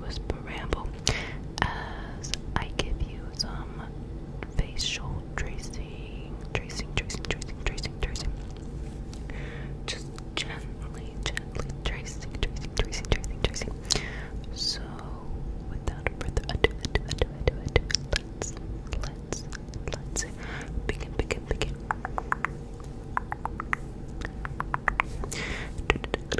whisper ramble as I give you some facial tracing, tracing, tracing, tracing, tracing, tracing. Just gently, gently tracing, tracing, tracing, tracing, tracing. So, without further ado, let's, let's, let's begin, begin, begin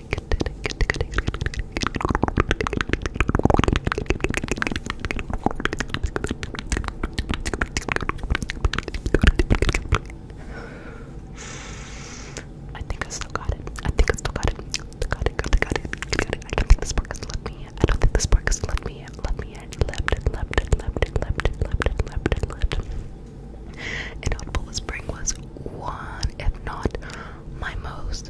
I think I still got it. I think I still got it. Got it, got it, got it, got it. I don't think the spark has let me in. I don't think the spark has let me in. Let me in. Left and left and left and left and left and left and left. And Audible Spring was one, if not my most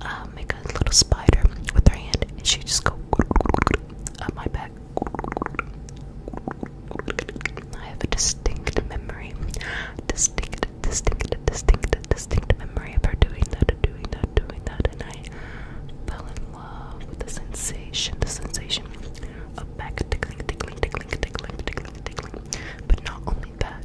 uh, make a little spider with her hand, and she just go up uh, my back. I have a distinct memory, distinct, distinct, distinct, distinct memory of her doing that, doing that, doing that, and I fell in love with the sensation, the sensation of back tickling, tickling, tickling, tickling, tickling, tickling. But not only that,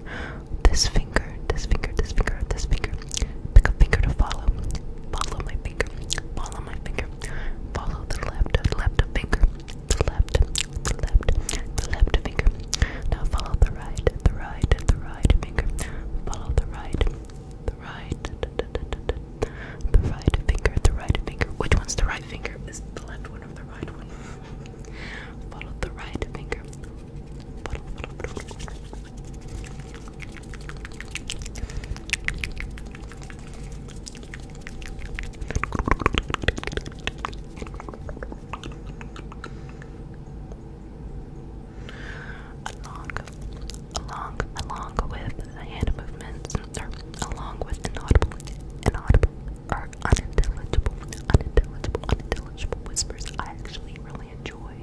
finger, this finger, this finger, this finger, this finger. Pick a finger to follow. Follow my finger. Follow my finger. Follow the left, left finger. The left, the left, the left finger. Now follow the right, the right, the right finger. Follow the right, the right, da, da, da, da, da. the right finger, the right finger. Which one's the right finger? Is the left one or the right one? Follow the right finger. Follow, follow, follow. Along, along, along with the hand movements, or along with inaudible, inaudible, or unintelligible, unintelligible, unintelligible whispers I actually really enjoy.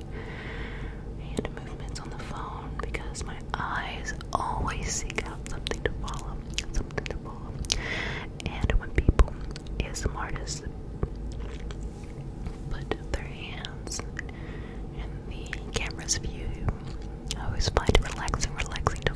Hand movements on the phone because my eyes always seek out something to follow, something to follow. And when people, ASM artists, put their hands in the camera's view, I always find it relaxing, relaxing to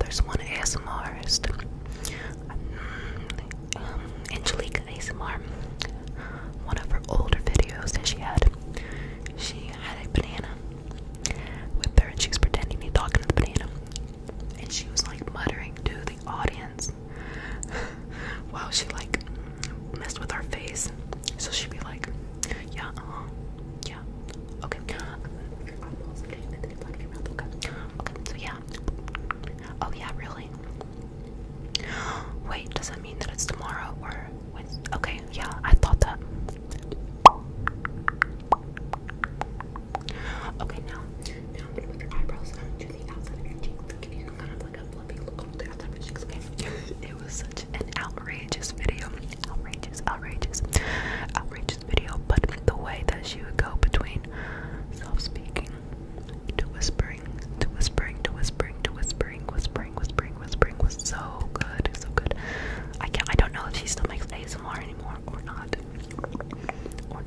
There's one ASMRist, um, mm, Angelica ASMR. One of her older videos that she had, she had a banana with her, and she was pretending to be talking to the banana and she was like muttering to the audience while she like messed with her face. So she'd be like, yeah, uh-huh. yeah, okay. okay, so yeah. Oh yeah, really? Wait, does that mean that it's tomorrow or Wednesday? Okay, yeah, I thought that. Okay, now, now i your eyebrows to the outside of your cheeks. Can you kind of like a fluffy look on It was such an outrageous video. Outrageous, outrageous, outrageous video. But the way that she would go between self speaking to whispering, to whispering, to whispering, to whispering, whispering, whispering, whispering was so good. So good. I can't I don't know if she still makes ASMR anymore or not or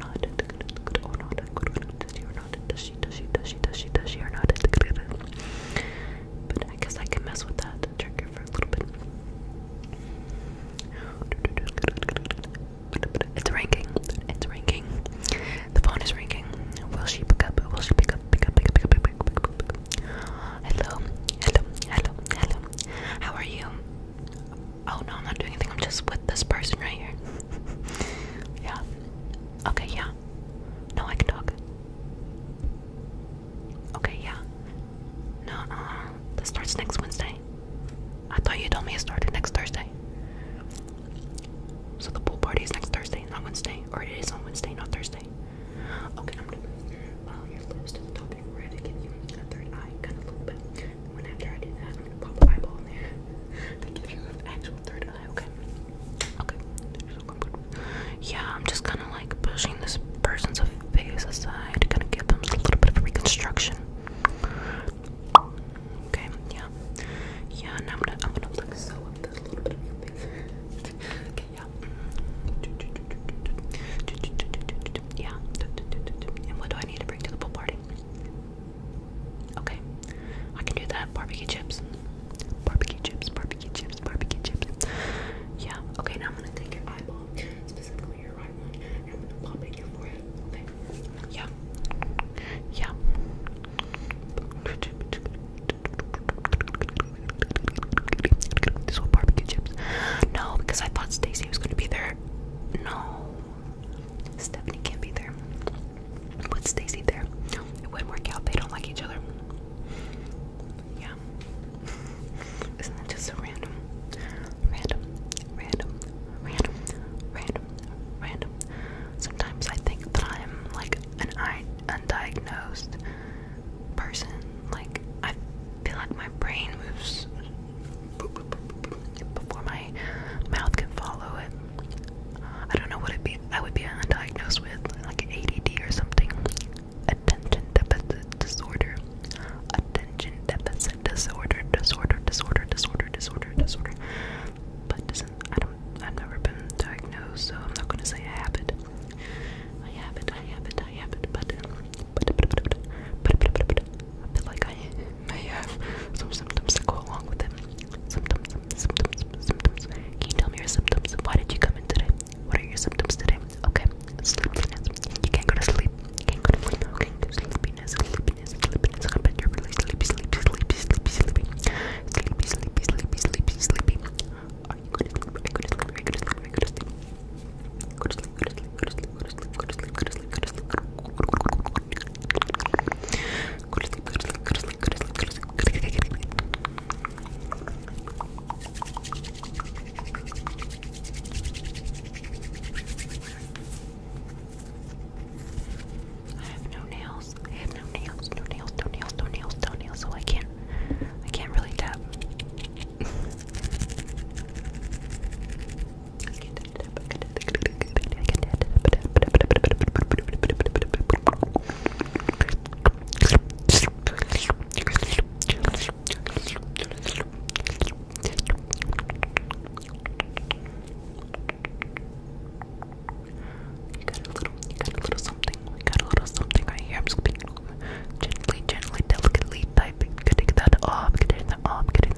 I can mess with that trigger for a little bit. It's ranking, it's ranking, the phone is ringing. will she pick up, will she pick up, pick up, pick up, pick up, pick up, pick up, pick up, hello, hello, hello, hello, how are you? Oh no, I'm not doing anything. I'm just with this person right here. yeah. Okay, yeah. No, I can talk. Okay, yeah. No, uh, this starts next Wednesday. I thought you told me it started next Thursday. So the pool party is next Thursday, not Wednesday. Or it is on Wednesday, not Thursday. Okay, I am Yeah, I'm just kind of like pushing this person's face aside, kind of give them a little bit of reconstruction. Okay, yeah, yeah. Now I'm gonna, I'm gonna like sew up this little bit of face. okay, yeah. Yeah. And what do I need to bring to the pool party? Okay, I can do that. Barbecue chips, barbecue chips, barbecue chips, barbecue chips. Yeah. Okay, now I'm gonna take your eyeball, specifically your right one, and I'm gonna pop in your forehead. Okay. Yeah. Yeah. This one barbecue chips. No, because I thought Stacy was gonna be there. No. Stephanie can't be there. Put Stacy there. It wouldn't work out. They don't like each other. Yeah. Isn't that just random? Random, random, random, random, random. Sometimes I think that I'm like an undiagnosed person. Like I feel like my brain moves before my mouth can follow it. I don't know what it be. I would be undiagnosed with like ADD or something. Attention deficit disorder. Attention deficit disorder. Disorder. Disorder. Disorder. Disorder. Disorder. But doesn't I don't. I've never been diagnosed, so I'm not gonna say I have it. I have it. I have it. I have it. But I feel like I may have some symptoms that go along with it. Symptoms, symptoms, symptoms. Can you tell me your symptoms? Why did you come in today? What are your symptoms today? Okay, sleepiness. You can't go to sleep. You can't go to sleep. Okay, sleepiness, sleepiness, sleepiness. I bet you're really sleepy, sleepy, sleepy, sleepy, sleepy. Sleepy, sleepy, sleepy, sleepy, sleepy. Are you going to sleep? Are you going to sleep? Are you going to sleep? Are you going to sleep? Go to sleep, go to sleep, go to sleep, go to sleep, go to sleep, go to sleep, go to sleep, go to sleep, go to sleep, go to sleep, go to sleep, go to sleep, go to sleep, go to sleep. I have no nails. I have no nails. No nails. No nails. No nails. No nails. So I can't. I can't really tap. You got a little, you got a little something. We got a little something right here. I'm just gently, gently, delicately typing. Getting that off, getting that off, getting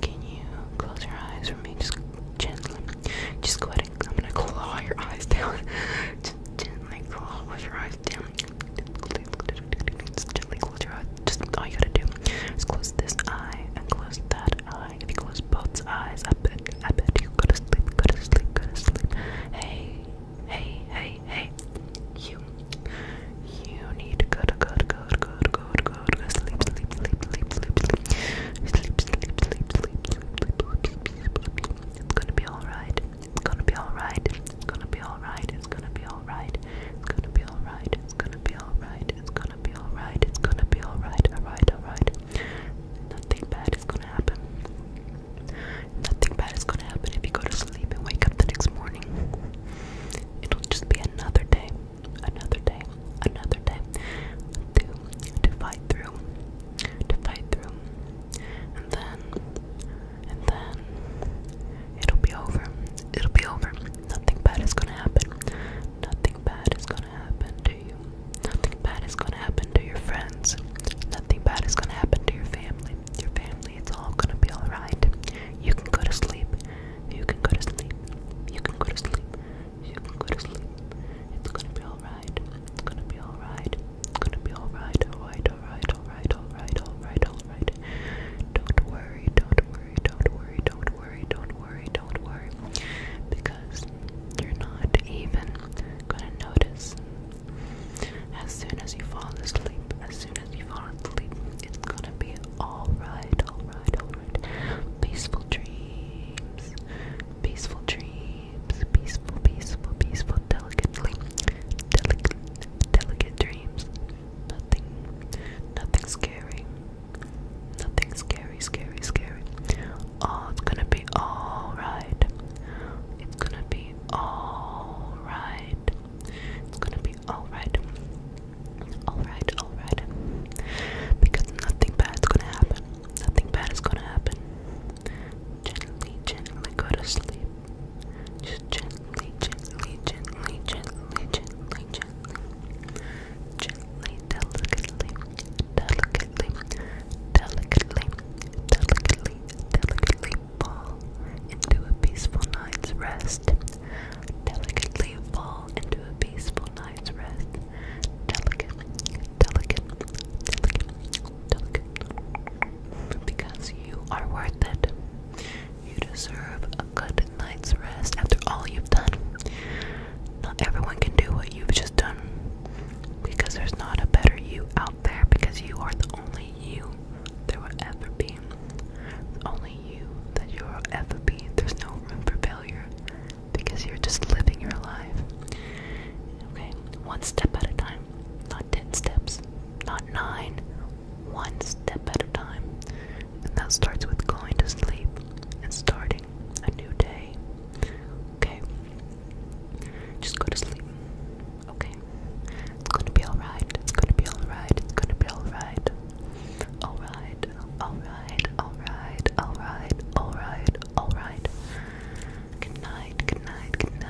Can you close your eyes for me? Just gently. Just go ahead I'm gonna claw your eyes down. Just gently claw with your eyes gently close your eyes. Just all you gotta do is close this eye and close that eye. If you close both eyes, I bet, I bet you go to sleep, go to sleep, go to sleep. Hey, hey, hey, hey. You, you need to go to go to go to go to go to go to sleep, sleep, sleep, sleep, sleep, sleep, sleep, sleep, sleep, sleep. It's gonna be all right. It's gonna be alright. It's gonna be alright. It's gonna be alright. It's gonna be alright. It's gonna be alright. It's gonna be alright. It's gonna be alright. Alright, alright. Nothing bad is gonna happen. Nothing bad is gonna happen if you go to sleep and wake up the next morning. It'll just be another day, another day, another day to to fight through, to fight through, and then and then it'll be over. It'll be over. Nothing bad is gonna happen. Nothing bad is gonna happen to you. Nothing bad is gonna happen to your friends. Nothing bad is gonna happen to your family. Your family, it's all gonna be alright. You can go to sleep. You can go to sleep. You can go to sleep. You can go to sleep. It's gonna be alright. It's gonna be alright. It's gonna be alright. Alright, alright, alright, alright, alright, alright. Don't worry, don't worry, don't worry, don't worry, don't worry, don't worry. Because you're not even gonna notice. As soon as you fall asleep, as soon as you fall asleep, it's gonna be alright, alright, alright. Peaceful dreams, peaceful dreams, peaceful, peaceful, peaceful, delicately, delicate, delicate dreams. Nothing, nothing scary. Nothing scary, scary, scary. Oh, it's gonna be alright. It's gonna be alright. It's gonna be alright. Alright, alright. Because nothing bad's gonna happen. Nothing bad is gonna happen. Gently, gently go to sleep. Just gently, gently, gently, gently, gently, gently, gently, delicately, delicately, delicately, delicately, delicately fall into a peaceful night's rest. Delicately fall into a peaceful night's rest. Delicate, delicate, delicate, delicate. Because you are worth it. You deserve a good night's rest after all you've done. Not everyone can do what you've just done because there's not a better you out there because you are the only you there will ever be. only you that you will ever be. There's no room for failure because you're just living your life. Okay, one step at a time, not 10 steps, not 9, one step at a time. And that starts with going to sleep and starting a new day. Okay? Just go to sleep. Okay? It's gonna be alright. It's gonna be alright. It's gonna be alright. Alright. Alright. Alright. Alright. Alright. Alright. Good night. Good night. Good night.